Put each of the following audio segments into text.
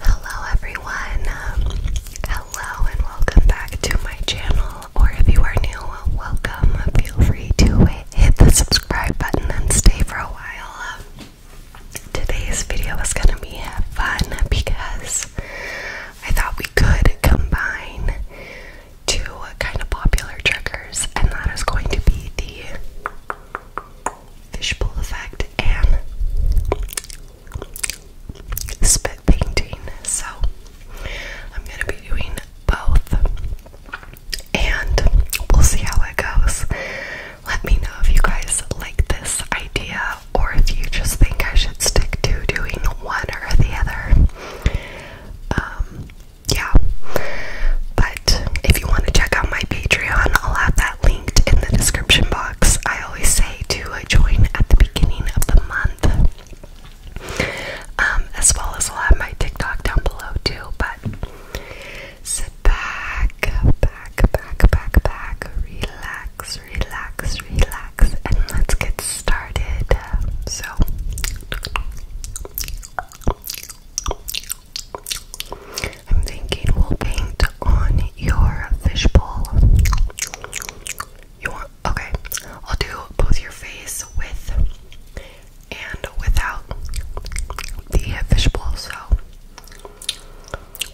Hello, everyone. Hello, and welcome back to my channel. Or if you are new, welcome. Feel free to hit the subscribe button and stay for a while. Today's video is going to be fun because I thought we could combine two kind of popular triggers, and that is going to be the fishbowl effect and spit painting. So I'm going to be doing both, and we'll see how it goes. Let me know if you guys like this idea or if you just think I should stick to doing one or the other. Um, yeah. But if you want to check out my Patreon, I'll have that linked in the description box. I always say to join at the beginning of the month. Um, as well as I'll have my TikTok down below too, but sit back, back, back, back, back, relax, relax, relax, and let's get started. So, I'm thinking we'll paint on your fishbowl. You want, okay, I'll do both your face with and without the fishbowl. So,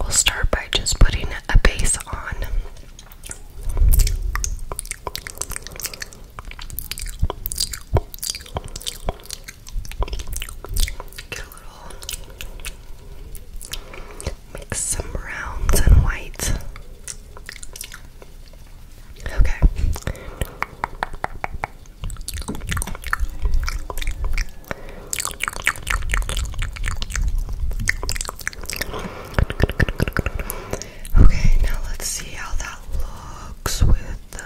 we'll start by just putting a base on. Get a little mix some browns and white. Okay. Okay, now let's see how that looks with the.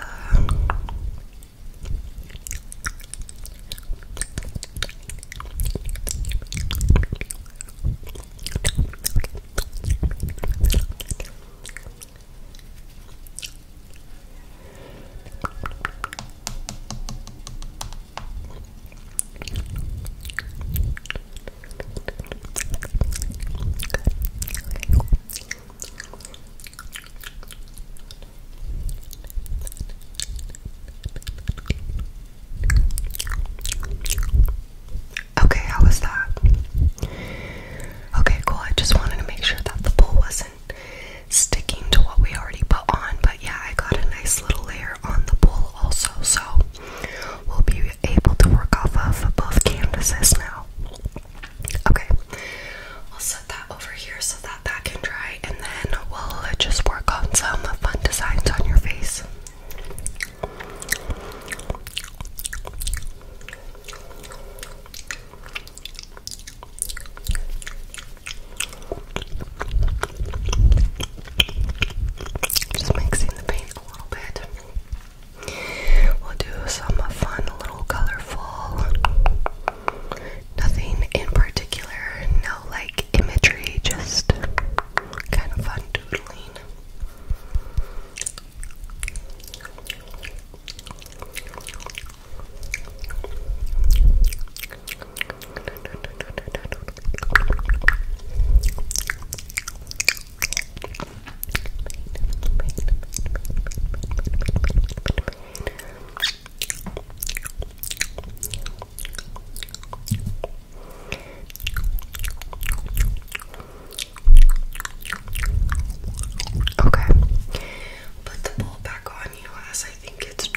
Okay, how was that? Okay, cool. I just wanted to make sure that the bowl wasn't sticking to what we already put on, but yeah, I got a nice little layer on the pool also, so we'll be able to work off of both canvases now. Okay, I'll set that over here so that that can dry, and then we'll just work on some fun designs on your face. Just mixing the paint a little bit. We'll do some fun, little colorful, nothing in particular, no like imagery, just kind of fun doodling. Okay, put the bowl back on you as I think it's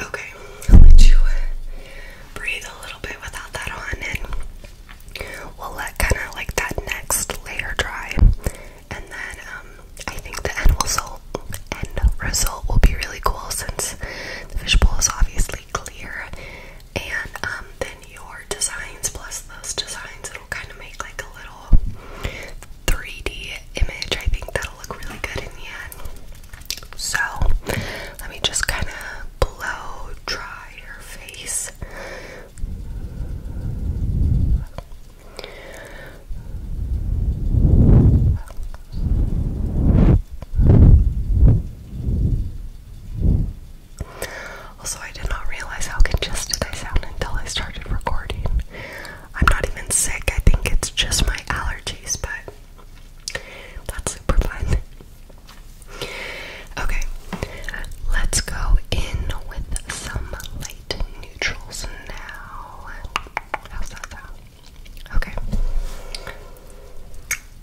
Okay, I'll let you uh, breathe a little bit without that on, and we'll let kind of like that next layer dry. And then um, I think the end result, end result will be really cool since the fishbowl is obviously clear and um, then your designs plus those designs, it'll kind of make like a little 3D image. I think that'll look really good in the end. So let me just kind of blow dry your face. Also, I did not realize how congested I sound until I started recording. I'm not even sick, I think it's just my allergies, but that's super fun. Okay, let's go in with some light neutrals now. How's that sound? Okay.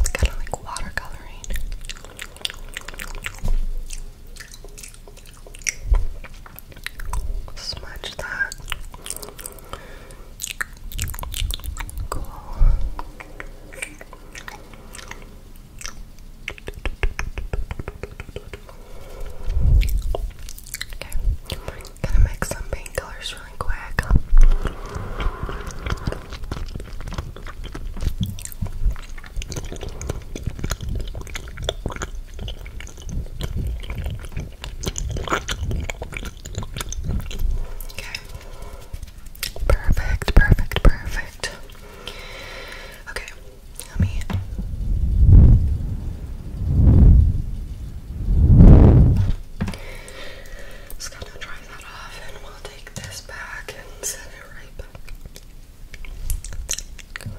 It's kind of like watercoloring. Smudge that. Cool. Gonna mix some paint colors really quick. Okay. Perfect, perfect, perfect. Okay, let just gonna dry that off and we'll take this back and set it right back. Okay.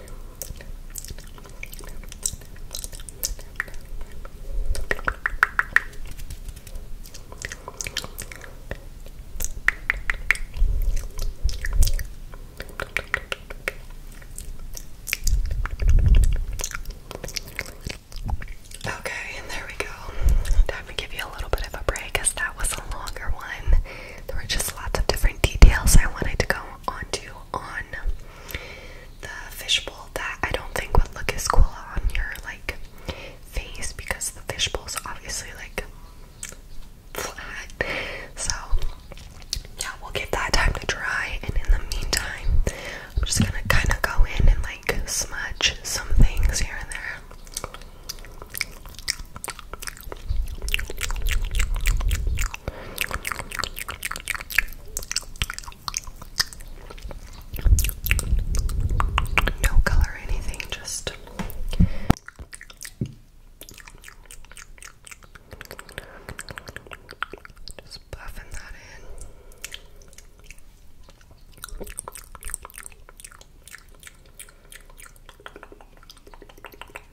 Okay, and there we go. Time to give you a little bit of a break that was a longer one. There were just lots of different details I wanted to go onto on the fishbowl that I don't think would look as cool on your like face because the fishbowl is obviously like flat. So yeah, we'll give that time to dry and in the meantime I'm just gonna kinda go in and like smudge some things here and there. No color anything, just just buffing that in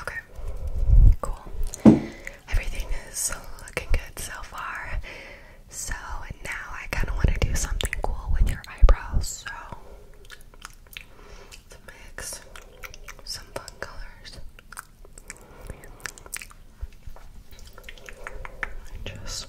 Okay, cool. Everything is looking good so far. So now I kind of want to do something cool with your eyebrows. So let's mix some fun colors. just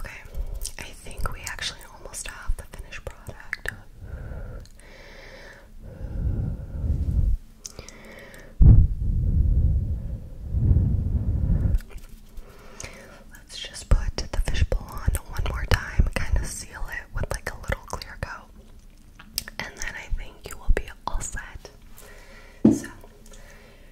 Okay, I think we actually almost have the finished product. Let's just put the fishbowl on one more time, kind of seal it with like a little clear coat, and then I think you will be all set. So,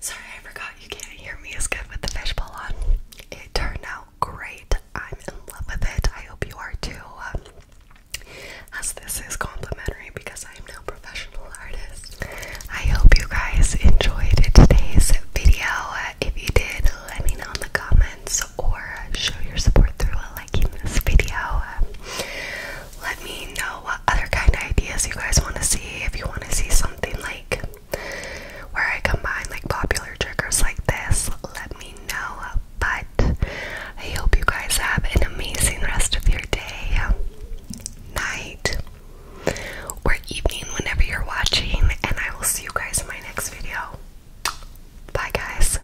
Sorry, I forgot you can't hear me as good with the fishbowl on. It turned out great. I'm in love with it. I hope you are too. Um, as this is complimentary because I am no professional artist. I hope you guys enjoyed today's video. If you did, let me know in the comments or show your support through a liking this video. Um, let me know what other kind of ideas you guys want to see. If you want to see something like where I combine like popular triggers like this, let me know. But I hope you guys have an amazing rest of your day, night, or evening whenever you're watching, and I will see you guys in my next video. Bye, guys.